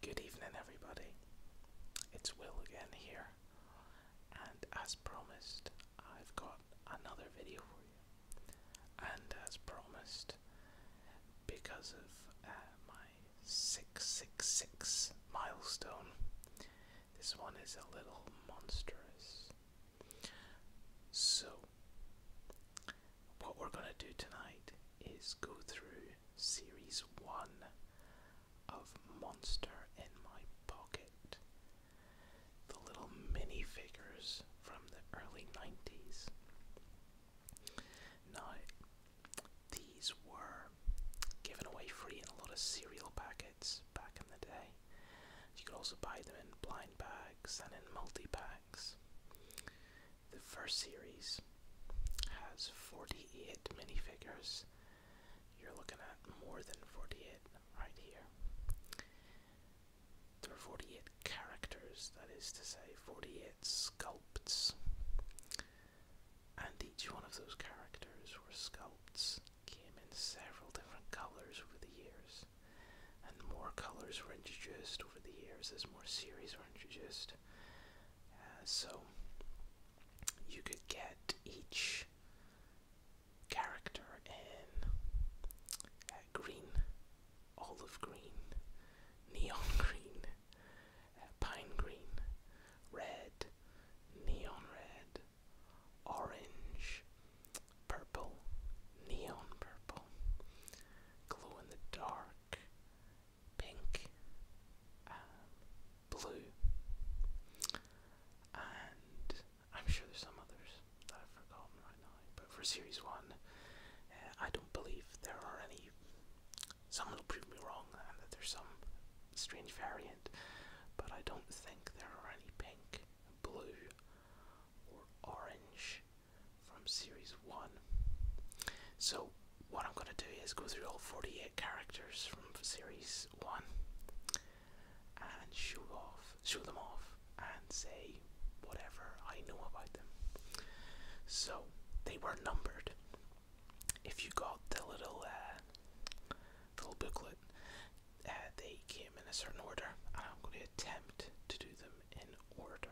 Good evening, everybody. It's Will again here, and as promised, I've got another video for you. And as promised, because of uh, my 666 milestone, this one is a little monstrous. So, what we're going to do tonight is go through series one of Monster in My Pocket. The little minifigures from the early 90s. Now, these were given away free in a lot of cereal packets back in the day. You could also buy them in blind bags and in multi packs. The first series has 48 minifigures. You're looking at more than 48 right here. There are 48 characters, that is to say, 48 sculpts. And each one of those characters or sculpts came in several different colors over the years and more colors were introduced over the years as more series were introduced. Uh, so you could get each character in uh, green, olive green, neon green, uh, pine green, red, neon red, orange, purple, neon purple, glow in the dark, pink, um, blue, and I'm sure there's some others that I've forgotten right now. But for series one, eh, I don't believe there are any. Someone will prove me wrong and that there's some strange variant, but I don't think there are any pink, blue, or orange from series one. So, what I'm going to do is go through all 48 characters from series one and show off, show them off, and say whatever I know about them. So they were numbered. If you got the little uh, little booklet, uh, they came in a certain order, and I'm going to attempt to do them in order.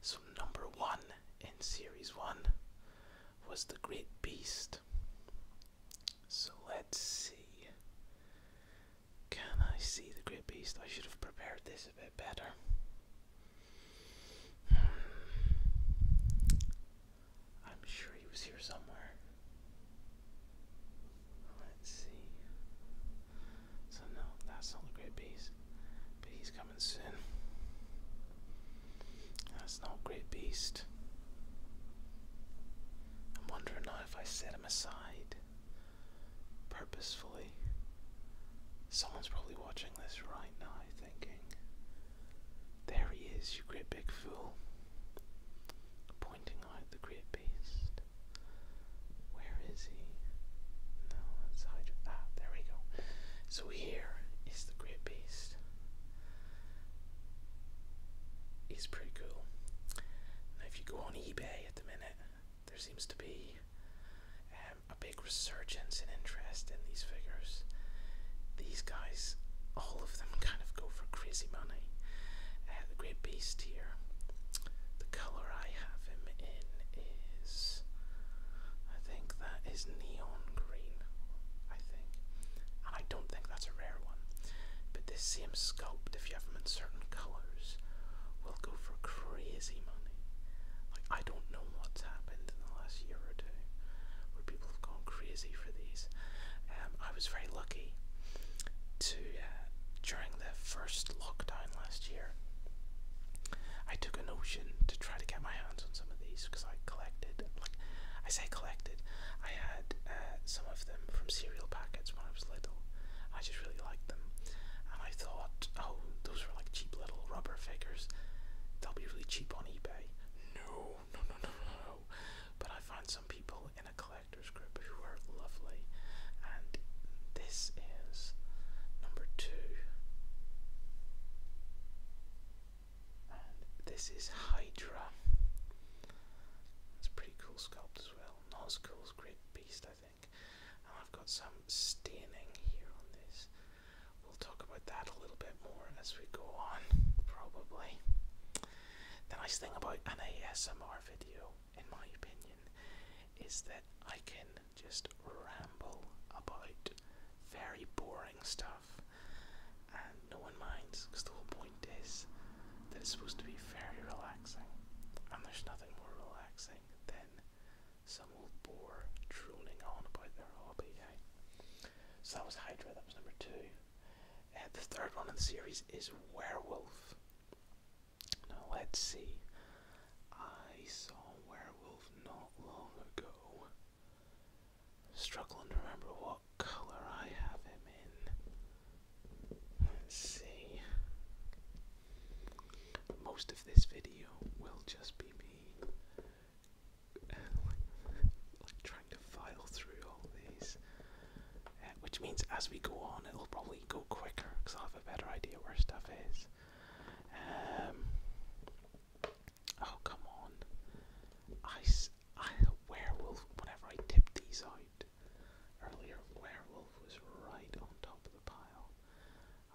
So, number one in series one was The Great Beast. So, let's see. Can I see The Great Beast? I should have prepared this a bit better. Hmm. I'm sure he was here somewhere. Let's see. So no, that's not a great beast. But he's coming soon. That's not a great beast. I'm wondering now if I set him aside purposefully. Someone's probably watching this right now thinking, There he is, you great big fool. Pointing out the great beast. Where is he? No, that's Hydra. Ah, there we go. So here is the Great Beast. He's pretty cool. Now, if you go on eBay at the minute, there seems to be um, a big resurgence in interest in these figures. These guys, all of them kind of go for crazy money. Uh, the Great Beast here, the color I have in is I think that is neon green, I think. And I don't think that's a rare one. But this same sculpt, if you have them in certain colours, will go for crazy money. Like I don't know what's happened in the last year or two where people have gone crazy for these. Um, I was very lucky to uh, during the first lockdown last year. I took a notion to try to get my hands on some of these because I collected, like, I say collected, I had uh, some of them from cereal packets when I was little. I just really liked them, and I thought, oh, those are like cheap little rubber figures. They'll be really cheap on eBay. No, no, no, no, no, no. But I found some people in a collector's group who were lovely, and this this is number two. this is Hydra. That's pretty cool sculpt as well. Not as cool as Grid beast, I think. I've got some staining here on this. We'll talk about that a little bit more as we go on, probably. The nice thing about an ASMR video, in my opinion, is that I can just ramble about very boring stuff and no one minds because the whole point is that it's supposed to be very relaxing and there's nothing more relaxing than some old bore droning on about their hobby. Eh? So that was Hydra, that was number two. Uh, the third one in the series is Werewolf. Now let's see I saw a werewolf not long ago. Struggling to remember what colour I have him in. Let's see. Most of this video will just be me like, trying to file through all these. Uh, which means as we go on, it'll probably go quicker because I'll have a better idea where stuff is. Um, oh come on! I, I werewolf. Whenever I tipped these out earlier, werewolf was right on top of the pile,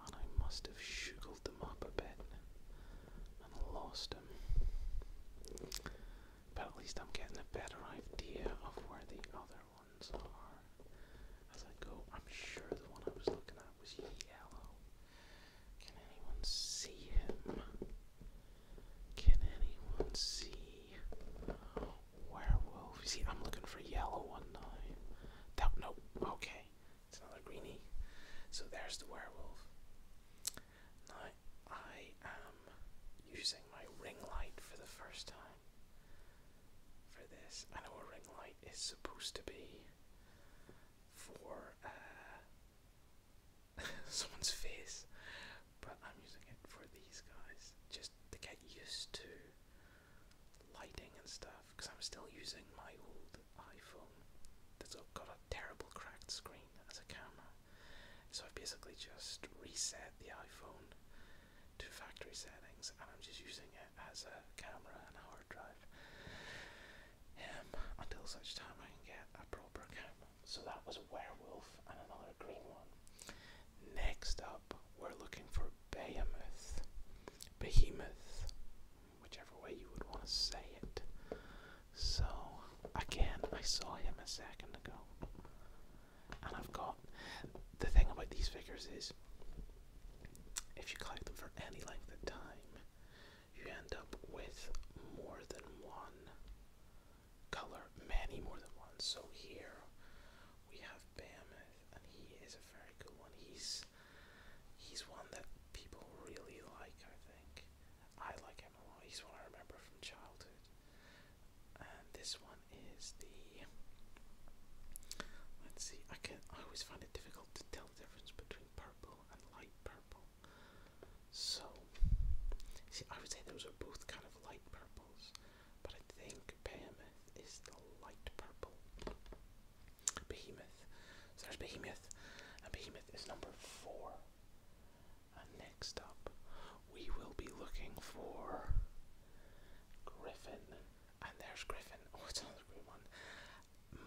and I must have shugled them up a bit and lost them. But at least I'm getting a better idea of where the other ones are. As I go, I'm sure the one I was looking at was yellow. Can anyone see him? Can anyone see werewolf? See, I'm looking for yellow one now. That nope. Okay, it's another greenie. So there's the werewolf. Now I am using my ring light for the first time for this. I know a ring light is supposed to be for uh, someone's face, but I'm using it for these guys just to get used to lighting and stuff because I'm still using my old iPhone that's got a terrible cracked screen as a camera. So I've basically just reset the iPhone to factory settings and I'm just using it as a camera and a hard drive um, until such time I can get a proper camera. So that was Werewolf and another green one. Next up, we're looking for Behemoth. Behemoth, whichever way you would want to say it. So, again, I saw him a second ago. And I've got. The thing about these figures is if you collect them for any length of time, you end up with more than one color, many more than one. So here we have Behemoth, and he is a very good one. He's he's one that people really like, I think. I like him a lot. He's one I remember from childhood. And this one is the let's see, I can not I always find it difficult to tell the difference between purple and light purple. So, see, I would say those are both kind of light purples, but I think Behemoth is the light purple. Behemoth. So there's Behemoth, and Behemoth is number four. And next up, we will be looking for Griffin. And there's Griffin. Oh, it's another one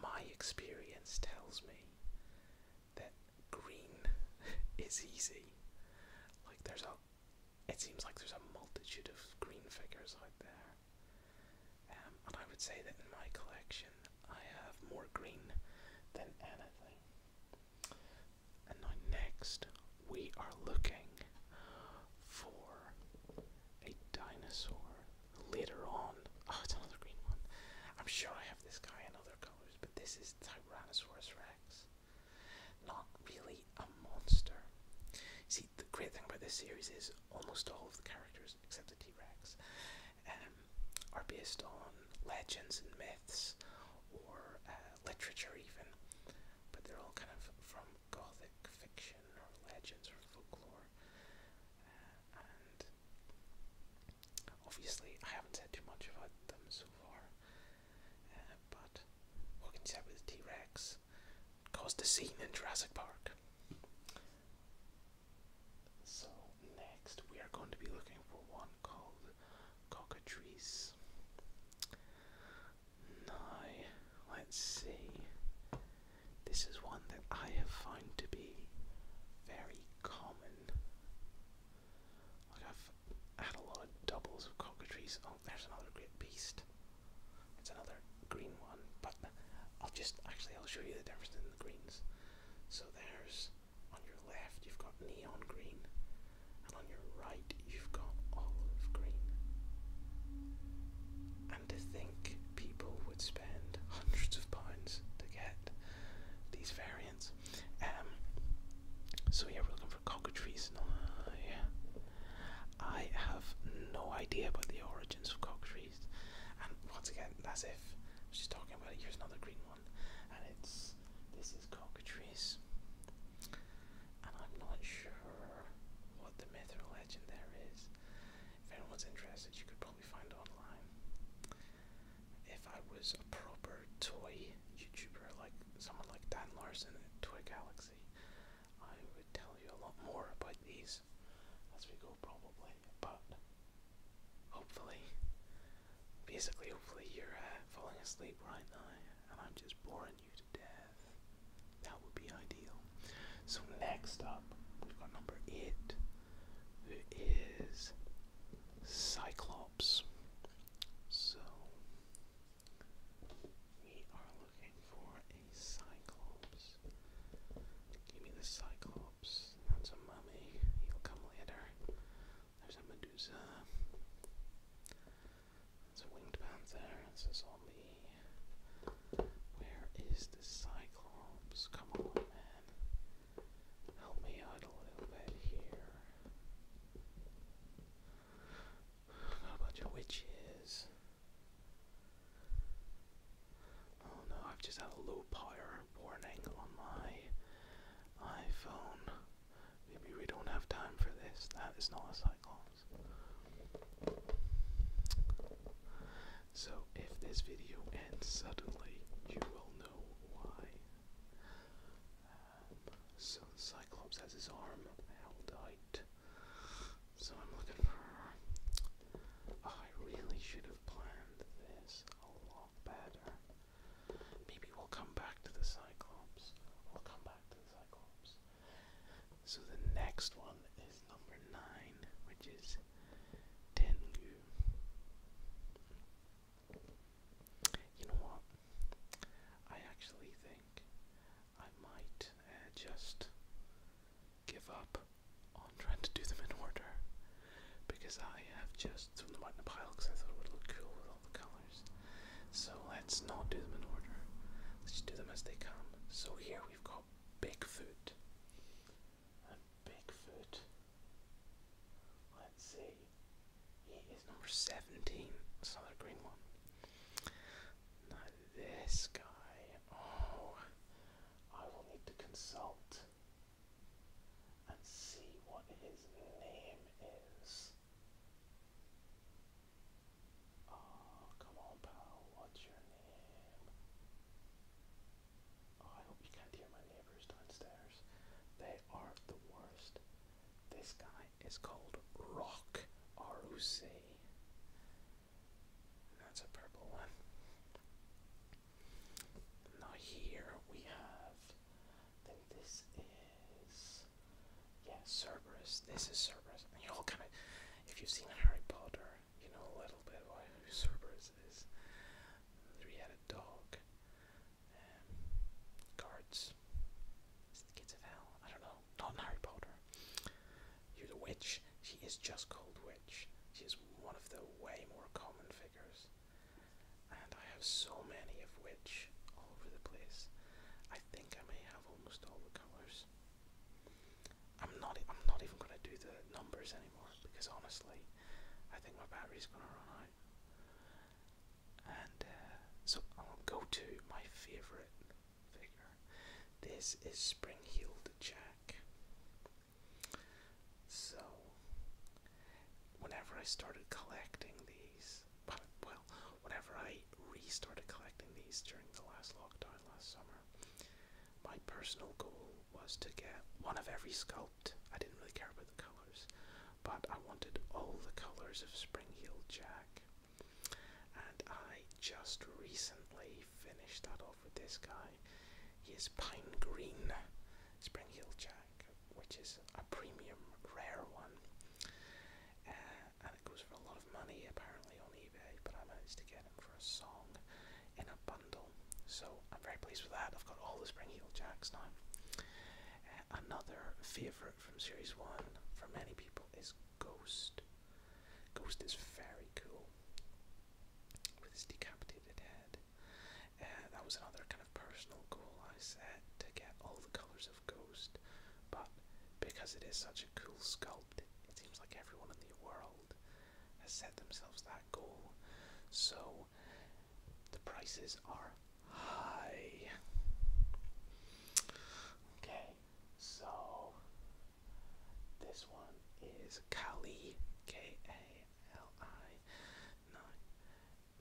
my experience tells me that green is easy. Like there's a, it seems like there's a multitude of green figures out there, um, and I would say that in my collection I have more green than anything. And now next we are looking for a dinosaur later on. Oh, it's another green one. I'm sure I have this guy in other colors, but this is Tyrannosaurus Rex. Not really a monster. See, the great thing about this series is almost all of the characters, except the T Rex, um, are based on legends and myths or uh, literature, even. But they're all kind of from gothic fiction or legends or folklore obviously, I haven't said too much about them so far, uh, but what can you say about T Rex? Caused a scene in Jurassic Park. So, next we are going to be looking for one called Cockatrice. Now, let's see. This is one that I have found to be very common. I've had a lot of doubles of cockatrice. Oh, there's another great beast. It's another green one, but I'll just actually I'll show you the difference in the greens. So there's on your left you've got neon green, and on your right you've got olive green. And to think people would spend hundreds of pounds to get these variants. Um, so yeah, we're looking for cockatrices Yeah. I have no idea about the origins of cockatrices. And once again, as if she's talking about it. Here's another green one, and it's this is cockatrices, and I'm not sure what the myth legend there is. If anyone's interested, you could probably find it online. If I was a proper toy YouTuber, like someone like Dan Larson at Toy Galaxy, I would tell you a lot more about these as we go, probably. But hopefully, basically, hopefully, you're uh, falling asleep right now and I'm just boring you to death. That would be ideal. So next up, we've got number eight, who is Cyclops. So we are looking for a Cyclops. Give me the Cyclops. That's a mummy. He'll come later. There's a Medusa. That's a winged panther. That's a zombie. Where is the Cyclops? Come on, man. Help me out a little bit here. a bunch of witches. Oh no, I've just had a low power warning on my iPhone. Maybe we don't have time for this. That is not a Cyclops. So if this video ends suddenly, you will know why. Um, so Cyclops has his arm held out. So I'm looking for. I really should have planned this a lot better. Maybe we'll come back to the Cyclops. We'll come back to the Cyclops. So the next one is number nine, which is Tengu. You know what? I actually think I might uh, just give up on trying to do them in order because I have just thrown them in a pile because I thought it would look cool with all the colours. So let's not do them in order. Let's just do them as they come. So here we've got Bigfoot. Bigfoot. Let's see. He is number 17. That's another green one. Now this guy. Oh, I will need to consult and see what his name is. Oh, come on, pal. What's your name? Oh, I hope you can't hear my neighbors downstairs. They are the worst. This guy is called Rock R-O-C. That's a purple one. Now here we have, I think this is, yeah, Cerberus. This is Cerberus. And you all kind of, if you've seen Harry Potter, you know a little bit about Cerberus is. Three-headed dog. guards. kids of hell. I don't know. Not Harry Potter. You're the witch. She is just called witch. She is one of the way more common figures. And I have so many of which all over the place. I think I may have almost all the colours. I'm not I'm not even gonna do the numbers anymore because honestly I think my battery's gonna run out. And uh, so I'll go to my favorite figure. This is Spring-Heeled Jack. So whenever I started collecting these, well, whenever I restarted collecting these during the last lockdown last summer, my personal goal was to get one of every sculpt. I didn't really care about the colours, but I wanted all the colours of Spring Heel Jack. And I just recently finished that off with this guy. He is Pine Green Spring Heel Jack, which is a premium rare one. Uh, and it goes for a lot of money apparently on eBay, but I managed to get him for a song in a bundle. So I'm very pleased with that. I've got all the Spring Heel Jacks now. another favourite from Series 1 for many people is Ghost. Ghost is very cool with his decapitated head. Uh, that was another kind of personal goal I set to get all the colours of Ghost, but because it is such a cool sculpt, it seems like everyone in the world has set themselves that goal. So the prices are high. Okay, so this one is Kali, K A L I. Now,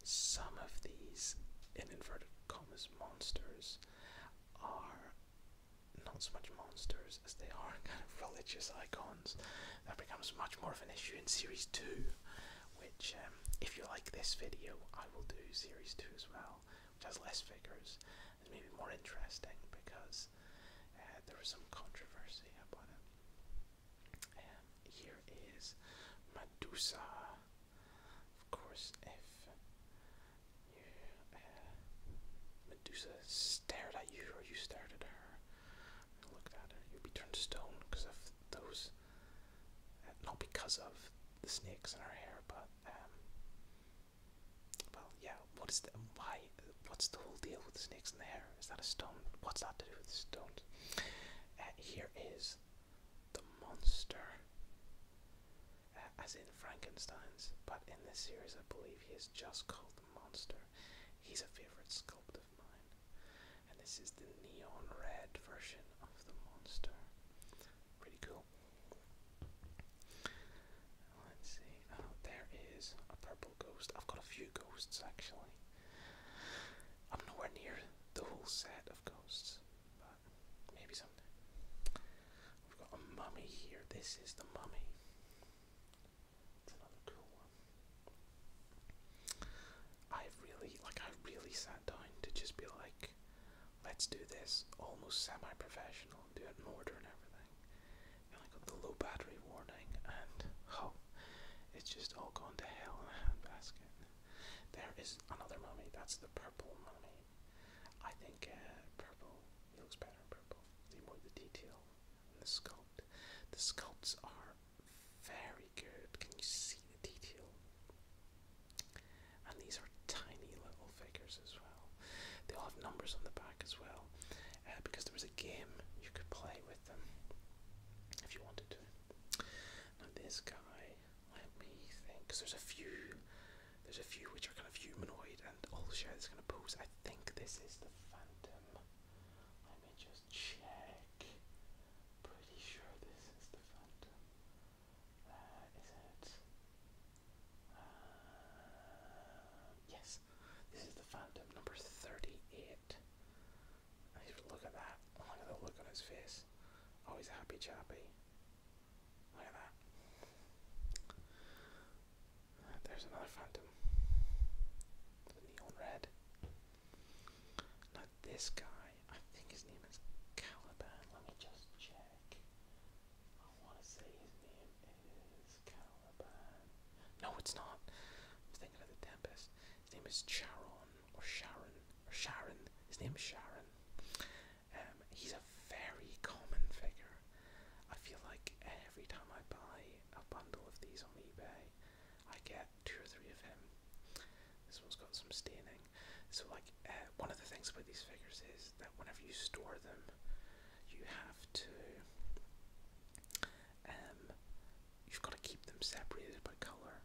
some of these, inverted commas, monsters are not as much monsters as they are kind of religious icons. That becomes much more of an issue in Series 2, which, um, if you like this video, I will do Series 2 as well, which has less figures and maybe more interesting because uh, there was some controversy about it. Um, here is Medusa. Of course, if uh, Medusa stared at you or you stared at her, looked at her, you'd be turned to stone because of those. Eh, not because of the snakes in her hair, but um, Well, yeah. What is the why? What's the whole deal with the snakes in the hair? Is that a stone? What's that to do with the stones? Eh, here is the monster, eh, as in Frankenstein's, but in this series, I believe he is just called the monster he's a favourite sculpt of mine. And this is the neon red version of the monster. Pretty cool. Let's see. Oh, there is a purple ghost. I've got a few ghosts actually. I'm nowhere near the whole set of ghosts, but maybe someday. We've got a mummy here. This is the mummy. I really like I really sat down to just be like, let's do this almost semi professional do it in order and everything. And I got the low battery warning and oh it's just all going to hell in a handbasket. There is another mummy, that's the purple mummy. I think uh, purple looks better in purple. The more the detail and the sculpt. The sculptures are very good. Can you see the detail? And these are tiny little figures as well. They all have numbers on the back as well, uh, because there was a game you could play with them if you wanted to. Now this guy, let me think, because there's a few, there's a few which are kind of humanoid and all share this kind of pose. I think this is the Phantom. Let me just check. Pretty sure this is the Phantom. That is it. Um, yes, this is the Phantom number 38. Look at that. Oh, look at the look on his face. Oh, happy chappy. Look at that. There's another Phantom neon red. Now this guy, I think his name is Caliban. Let me just check. I want to say his name is Caliban. No, it's not. i was thinking of the Tempest. His name is Charon or Sharon or Sharon. His name is Sharon. Um, he's a very common figure. I feel like every time I buy a bundle of these on eBay, I get two or three of him. This one's got some staining. So, like, uh, one of the things about these figures is that whenever you store them, you have to. Um, you've got to keep them separated by colour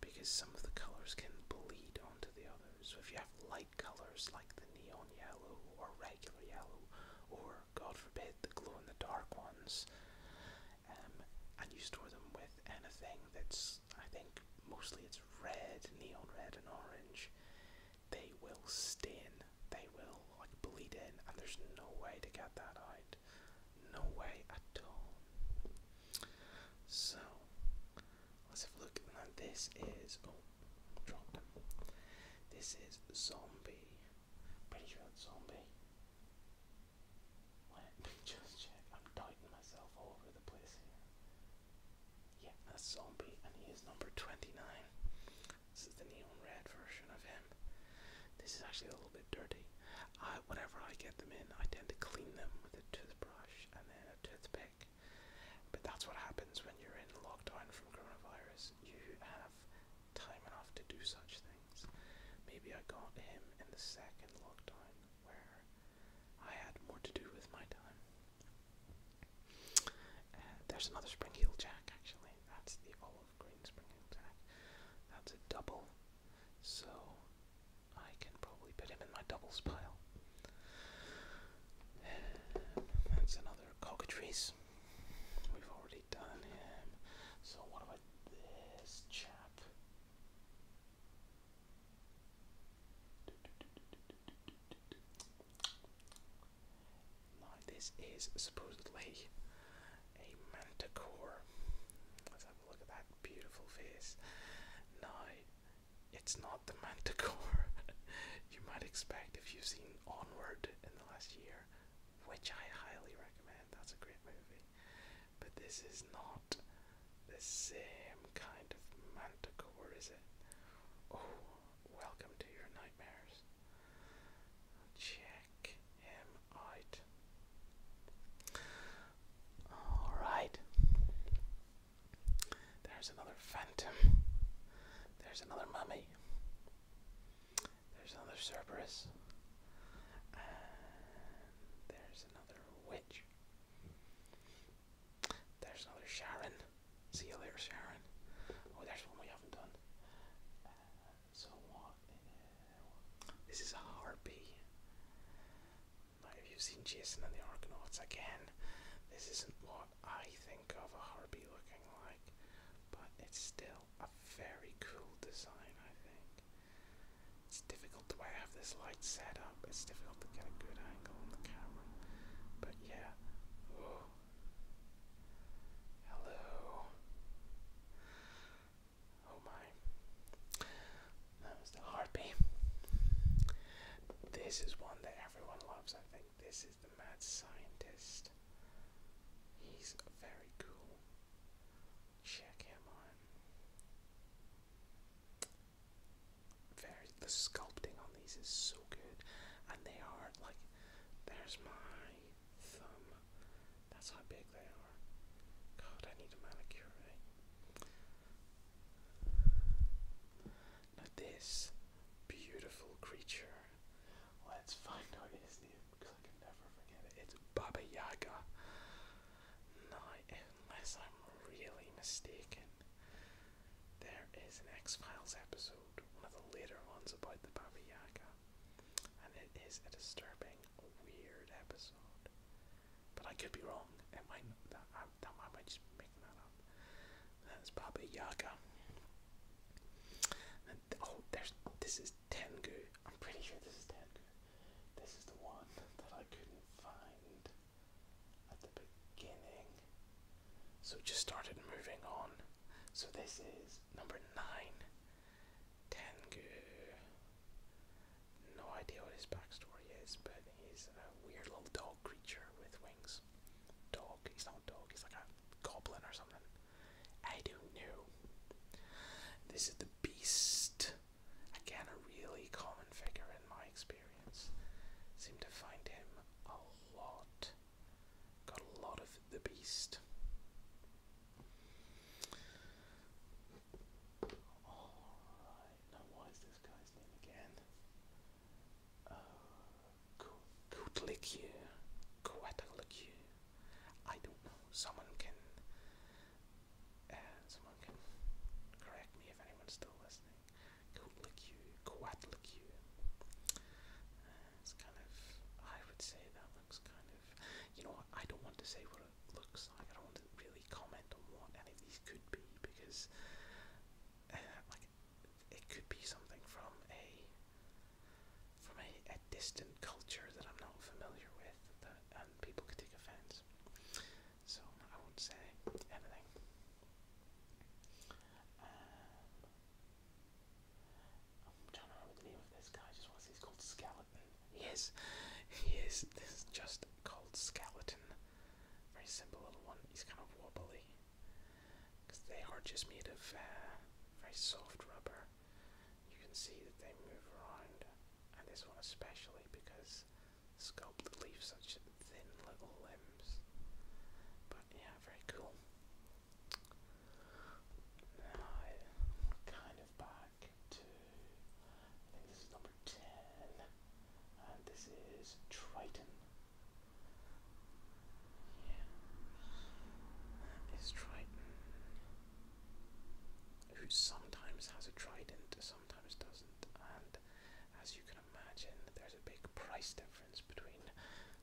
because some of the colours can bleed onto the others. So, if you have light colours like the neon yellow or regular yellow or God forbid, the glow in the dark ones, um, and you store them with anything that's, I think, mostly it's red, neon red, and orange, they will stain, they will like bleed in, and there's no way to get that out. No way at all. So, let's have a look. Now, this is. Oh, dropped This is Zombie Pretty sure it's zombie. Let me just check. I'm doubting myself all over the place here. Yeah, that's zombie, and he is number 29. This is the neon red version of him. This is actually a little bit dirty. I, whenever I get them in, I tend to clean them with a toothbrush and then a toothpick. But that's what happens when you're in lockdown from coronavirus. You have time enough to do such things. Maybe I got him in the second lockdown where I had more to do with my time. Uh, there's another Spring Heel Jack actually. That's the olive green Spring Heel Jack. That's a double. So I can probably put him in my doubles pile. That's another cockatrice. We've already done him. So what have I this chap? this is supposedly a manticore. Let's have a look at that beautiful face. Now, it's not the manticore you might expect if you've seen Onward in the last year which I highly recommend. That's a great movie. But this is not the same kind of manticore, is it? Oh, welcome to your nightmares. Check him out. Alright. There's another phantom. There's another mummy. There's another Cerberus. there's another witch. There's another Sharon. See you later, Sharon. Oh, there's one we haven't done. so what? this is a harpy. Might have you seen Jason and the Argonauts again? This isn't what I think of a harpy looking like but it's still a very cool design, I think. It's difficult the have this light set up, it's difficult to get a good angle on the camera, but yeah. Hello. Oh my. That was the harpy. This is one that everyone loves, I think. This is the mad scientist. He's very cool check him on. Very the sculpting on these is so good, and they are like there's my thumb. That's how big they are. God, I need a manicure. this beautiful creature. Let's find out his name because I can never forget it. It's Baba Yaga. Night, unless I'm really mistaken, there is an X Files episode, one of the later ones about the Baba Yaga, and it is a disturbing, weird episode. But I could be wrong. It might that I, might just be that up. That's Baba Yaga. oh, there's this is Tengu. I'm pretty sure this is Tengu. This is the one that I couldn't find at the beginning. So just started moving on. So this is number nine. Tengu. No idea what his backstory is, but he's a weird little dog creature with wings. Dog. He's not a dog. He's like a goblin or something. I don't know. This is the beast. Again, a really common figure in my experience. Seem to find him a lot. Got a lot of the beast. Alright, now what is this guy's name again? Uh, Kutlikier. Quatlikier. I don't know. Someone can someone can correct me if anyone's still listening. Coatlicue, Coatlicue. Uh, it's kind of, I would say that looks kind of, you know what, I don't want to say what it looks like, I don't want to really comment on what any of these could be, because, like, it could be something from a, from a, a distant culture that I'm not familiar with, um, and people could take offense. So I won't say anything. Um, trying to remember the name of this guy. just want he's called Skeleton. He is. This is just called Skeleton. Very simple little one. He's kind of wobbly. Because they are just made of uh, very soft rubber. You can see that they move around and this one especially because Sculpt leaves such thin little limbs. But yeah, very cool. Now kind of back to, I think this is number 10, and this is Triton. Yeah, that is Triton who sometimes has a trident, sometimes doesn't, and as you can imagine, there's a big price difference between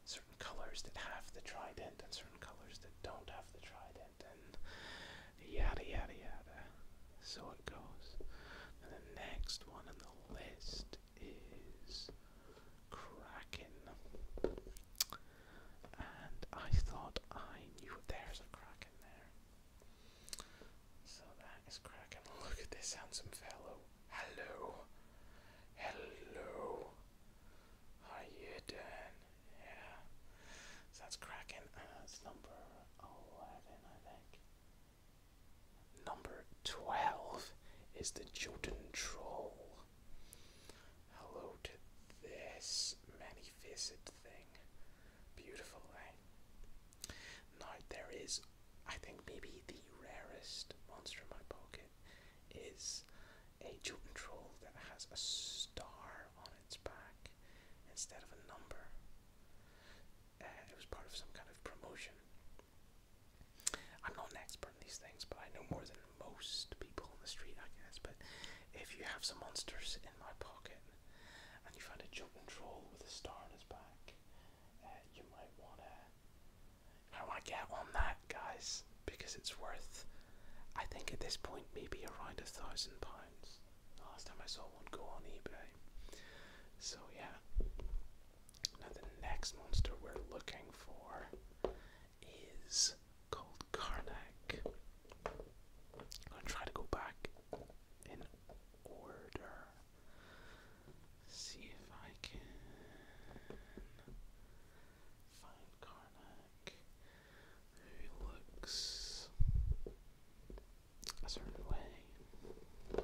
certain colors that have the trident and certain colors that don't have the trident, and yada yada yada. So it goes. the next one on the list is Kraken and I thought I knew there's a crack in there. So that is cracking. Look at this handsome fellow. Hello. Hello. are you doing? Yeah. that's cracking. And that's number 11, I think. Number 12 is the Jotun Troll. Hello to this many faceted thing. Beautiful, eh? Now, there is, I think, maybe the rarest monster in my pocket is a Jotun troll that has a star on its back instead of a number. Uh, it was part of some kind of promotion. I'm not an expert in these things, but I know more than most people on the street, I guess. But if you have some monsters my pocket and you find a jumping troll with a star on his back, uh, you might want to. How I get on that, guys, because it's worth, I think at this point, maybe around a thousand pounds. Last time I saw one go on eBay. So, yeah. Now, the next monster we're looking for is called Karnak. I'm gonna try to go back in order. See if I can find Karnak, who looks a certain way.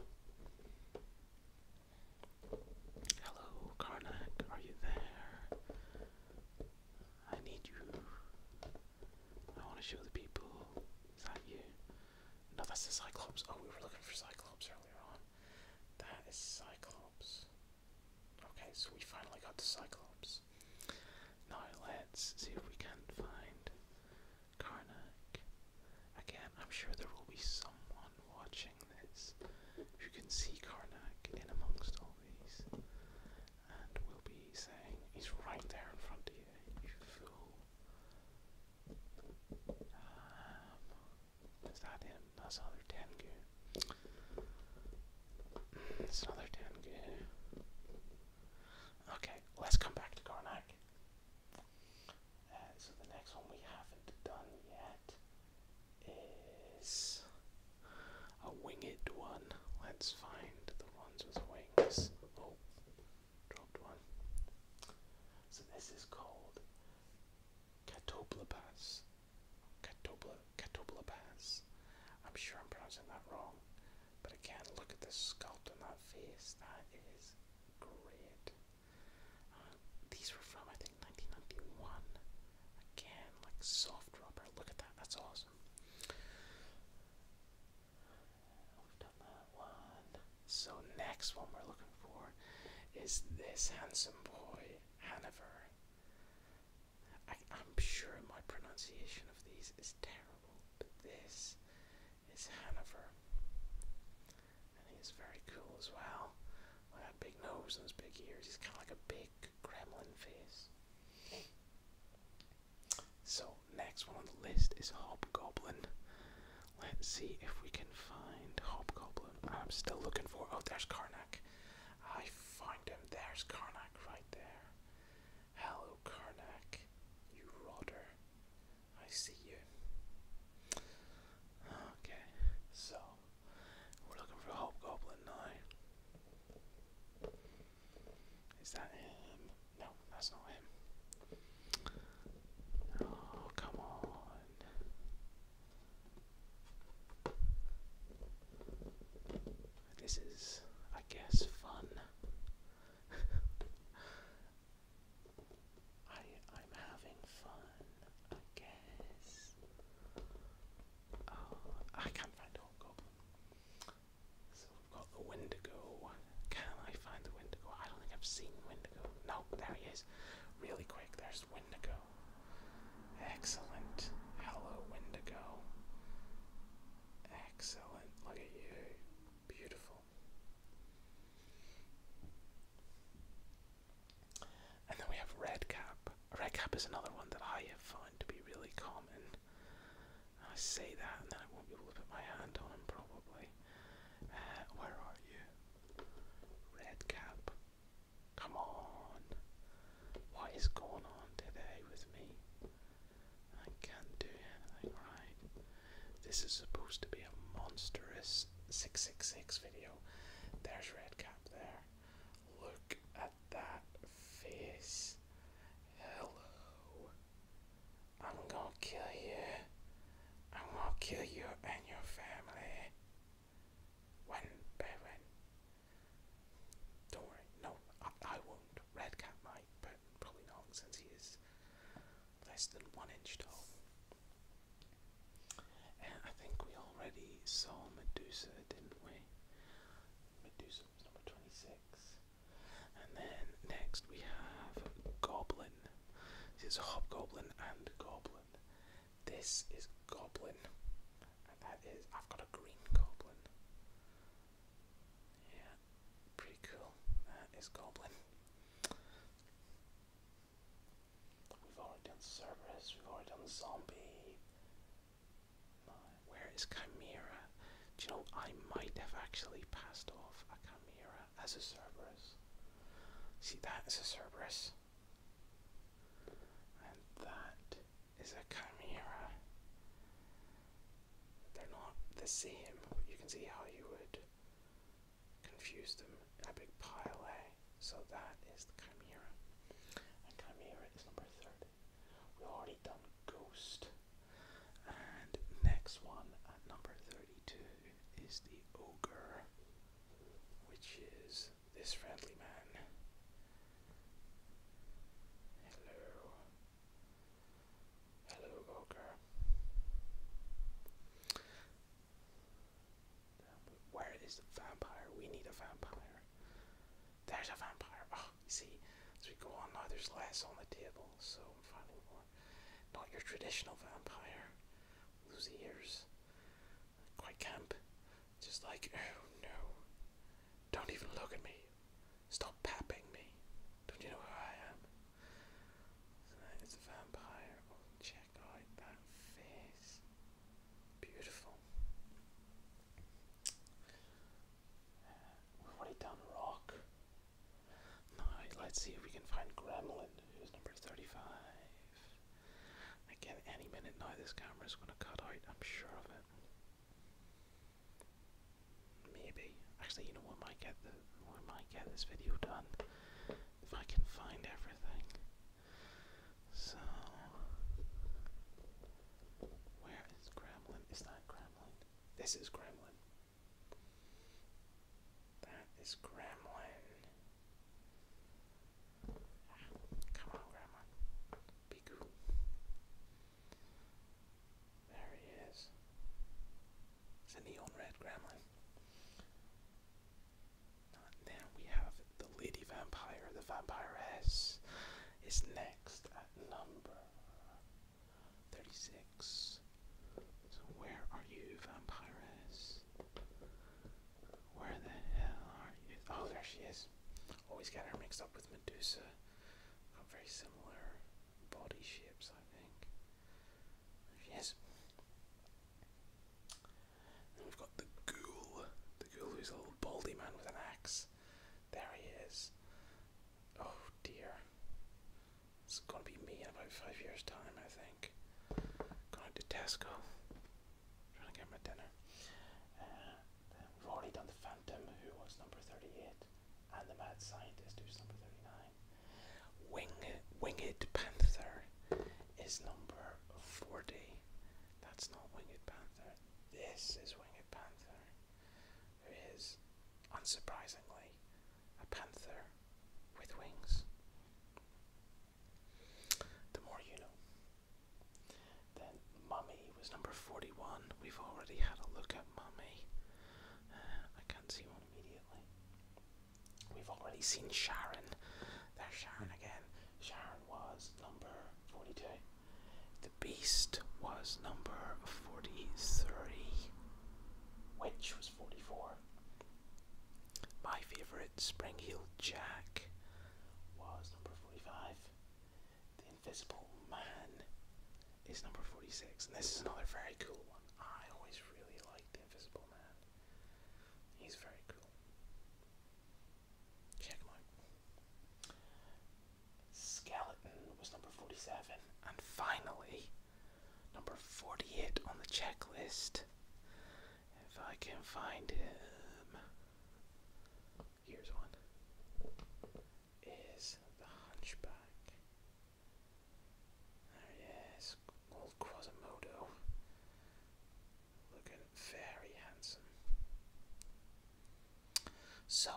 Hello, Karnak, are you there? I need you. I want to show the people. Is that you? No, that's the Cyclops. Oh, we were looking for Cyclops earlier on. That is Cyclops. Okay, so we finally got the Cyclops. Now let's see if we can find Karnak. Again, I'm sure there will be someone watching this who can see Karnak in amongst all these and will be saying, He's right there in front of you, fool. Um, is that him? That's another Tengu. It's another Tengu. Okay, let's come back to Karnak. Uh, so the next one we haven't done yet is a winged one. Let's find the ones with wings. Oh, dropped one. So this is called Catoblapas. Catobla Catoblapas. I'm sure I'm pronouncing that wrong, but again, look at the sculpt on that face. That is great. Uh, these were from I think 1991. Again, like soft rubber. Look at that. That's awesome. So next one we're looking for is this handsome boy, Hanover. I, am sure my pronunciation of these is terrible, but this is Hanover. And he's very cool as well. that big nose those big ears. He's kind of like a big gremlin face. So, next one on the list is Hobgoblin. Let's see if we can find Hobgoblin. I'm still looking for. Oh, there's Karnak. I find him. There's Karnak right there. Hello, Karnak. You rotter. I see you. Okay, so we're looking for Hobgoblin now. Is that him? No, that's not him. Oh, come on. This is, I guess, fun. I I'm having fun, I guess. Oh, I can't find Hawk Goblin. So we've got the Can I find the Wendigo? I don't think I've seen Wendigo. No, there he is. Really quick, there's Wendigo. Excellent. Hello, Wendigo. Excellent. Look at you. Beautiful. And then we have Redcap. Redcap is another one that I have found to be really common. I say that and then I won't be able to put my hand on him probably. Uh, where are you? Redcap. Come on. What is going on today with me? I can't do anything right. This is supposed to be a monstrous 666 video. There's Redcap there. Look at that face. Hello. I'm gonna kill you. I'm gonna kill you and your family. One by one. Don't worry, no, I, I won't. Red might, but probably not since he is less than one inch tall. And I think we already saw Medusa, didn't we? Medusa was number 26. And then next we have Goblin. This is Hobgoblin and Goblin. This is Goblin. that is, I've got a green Goblin. Yeah, pretty cool. That is Goblin. We've already done the Cerberus, we've already done the Zombie. Where is Chimera? Do you know, I might have actually passed off a Chimera as a Cerberus. See, that is a Cerberus. And that is a Chimera. They're not the same, you can see how you would confuse them in a big pile, eh? So that is the Chimera. And Chimera is number 13. We've already done Ghost. And next one at number 32 is the Ogre, which is this friendly man. Hello. Hello, Ogre. Where is the vampire? We need a vampire. There's a vampire. Ah see, as we go on now, there's less on the table, so I'm finding more. Not your traditional vampire. Lose ears. Quite camp. Just like, oh no. Don't even look at me. Stop papping me. Don't you know who I am? So that is a vampire. Oh, check out that face. Beautiful. Uh, what he done? Rock let's see if we can find Gremlin, who's number 35. Again, any minute now this camera's gonna cut out, I'm sure of it. Maybe. Actually, you know what might get the I might get this video done if I can find everything. So where is Gremlin? Is that Gremlin? This is Gremlin. That is Gremlin. Ah, come on, Grandma. Be cool. There he is. It's a neon red gremlin. Now we have the lady vampire, the vampiress, is next at number 36. where are you, vampires? Where the hell are you? Oh, there she is. Always get her mixed up with Medusa. very similar body shapes, I think. There she is. we've got the ghoul. The ghoul is a little baldy man with an axe. There he is. Oh dear. It's gonna be me in about five years' time, I think. Going to Tesco. Trying to get my dinner. Uh, then we've already done the Phantom, who was number 38, and the Mad Scientist, who's number 39. Wing, winged Panther is number 40. That's not Winged Panther. This is Winged Panther who is, unsurprisingly, a panther with wings. The more you know. Then Mummy was number 41. We've already had a look at Mummy. Uh, I can't see one immediately. We've already seen Sharon. There's Sharon hmm. again. Sharon was number 42. The Beast was number 43. Winch was 44. My favourite, Spring Jack, was number 45. The Invisible Man is number 46. And this is another very cool one. I always really like The Invisible Man. He's very cool. Check Skeleton was number 47. And finally, number 48 on the checklist. If I can find him. Here's one. Is the Hunchback. There ah, he is. Old Quasimodo. Looking very handsome. So,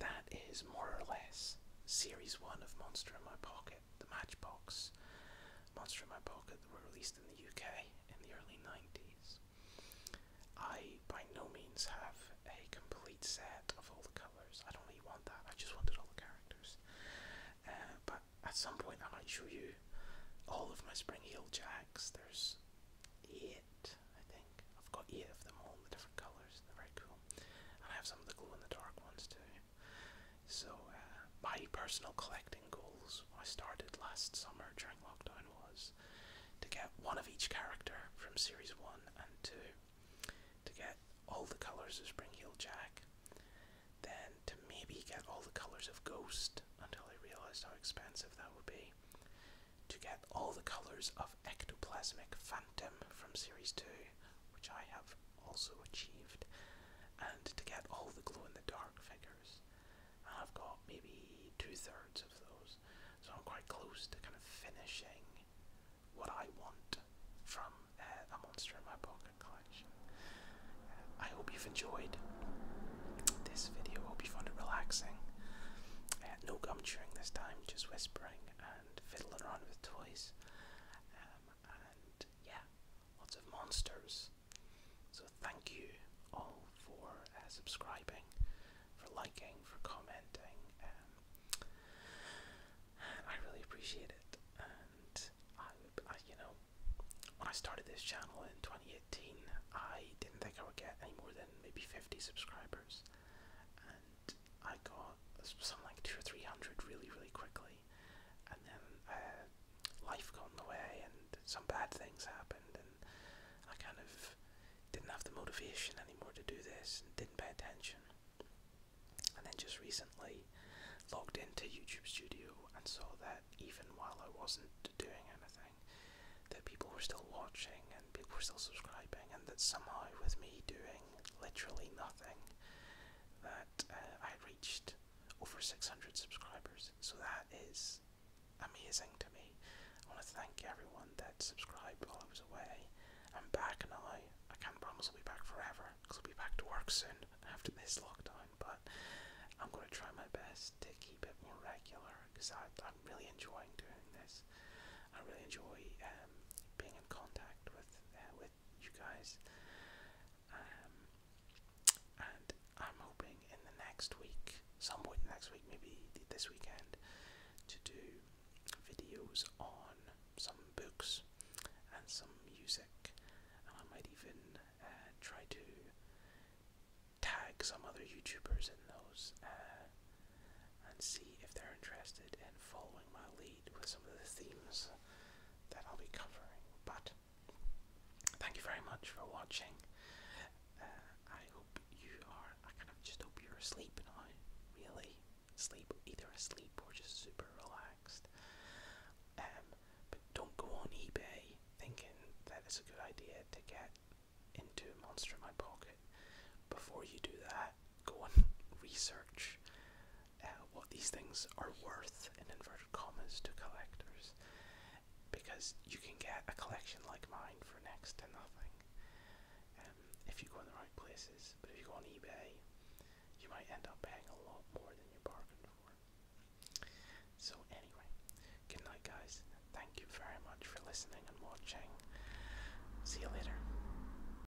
that is more or less Series 1 of Monster in My Pocket, the Matchbox. Monster in My Pocket that were released in the UK in the early 90s. I by no means have a complete set of all the colours. I don't really want that, I just wanted all the characters. Uh, but at some point, I might show you all of my Spring Heel Jacks. There's eight, I think. I've got eight of them all in the different colours, they're very cool. I have some of the glow in the dark ones too. So, uh, my personal collecting goals I started last summer during lockdown was to get one of each character from series 1 and 2, to get all the colours of Springheel Jack, then to maybe get all the colours of Ghost until I realised how expensive that would be, to get all the colours of Ectoplasmic fun from Series 2, which I have also achieved, and to get all the glow in the dark figures. I've got maybe two thirds of those, so I'm quite close to kind of finishing what I want from uh, a Monster in My Pocket collection. Uh, I hope you've enjoyed this video, I hope you found it relaxing. Uh, no gum chewing this time, just whispering fiddling around with toys. Um, and yeah, lots of monsters. So thank you all for uh, subscribing, for liking, for commenting. Um, I really appreciate it. And I, I, you know, when I started this channel in 2018, I didn't think I would get any more than maybe 50 subscribers. And I got something like two or three hundred really, really quickly, and then uh, life got in the way, and some bad things happened, and I kind of didn't have the motivation anymore to do this, and didn't pay attention. And then just recently logged into YouTube Studio and saw that even while I wasn't doing anything, that people were still watching and people were still subscribing, and that somehow with me doing literally nothing, that uh, I reached over 600 subscribers. So that is amazing to me. I want to thank everyone that subscribed while I was away. I'm back and I can't promise I'll be back forever because I'll be back to work soon after this lockdown, but I'm going to try my best to keep it more regular because I'm really enjoying doing this. I really enjoy. Uh, being in contact with uh, with you guys. Um, and I'm hoping in the next week, some point next week, maybe this weekend, to do videos on some books and some music. And I might even uh, try to tag some other YouTubers in those. Uh, and see if they're interested in following my lead with some of the themes that I'll be covering. But thank you very much for watching. Uh, I hope you are, I kind just hope you're asleep now, really. Sleep, either asleep or just super relaxed. Um, but don't go on eBay thinking that it's a good idea to get into Monster in My Pocket. Before you do that, go and research uh, what these things are worth in inverted commas to collectors because you can get a collection like mine for next to nothing um, if you go in the right places. But if you go on eBay, you might end up paying a lot more than you bargained for. So, anyway, good night, guys. Thank you very much for listening and watching. See you later.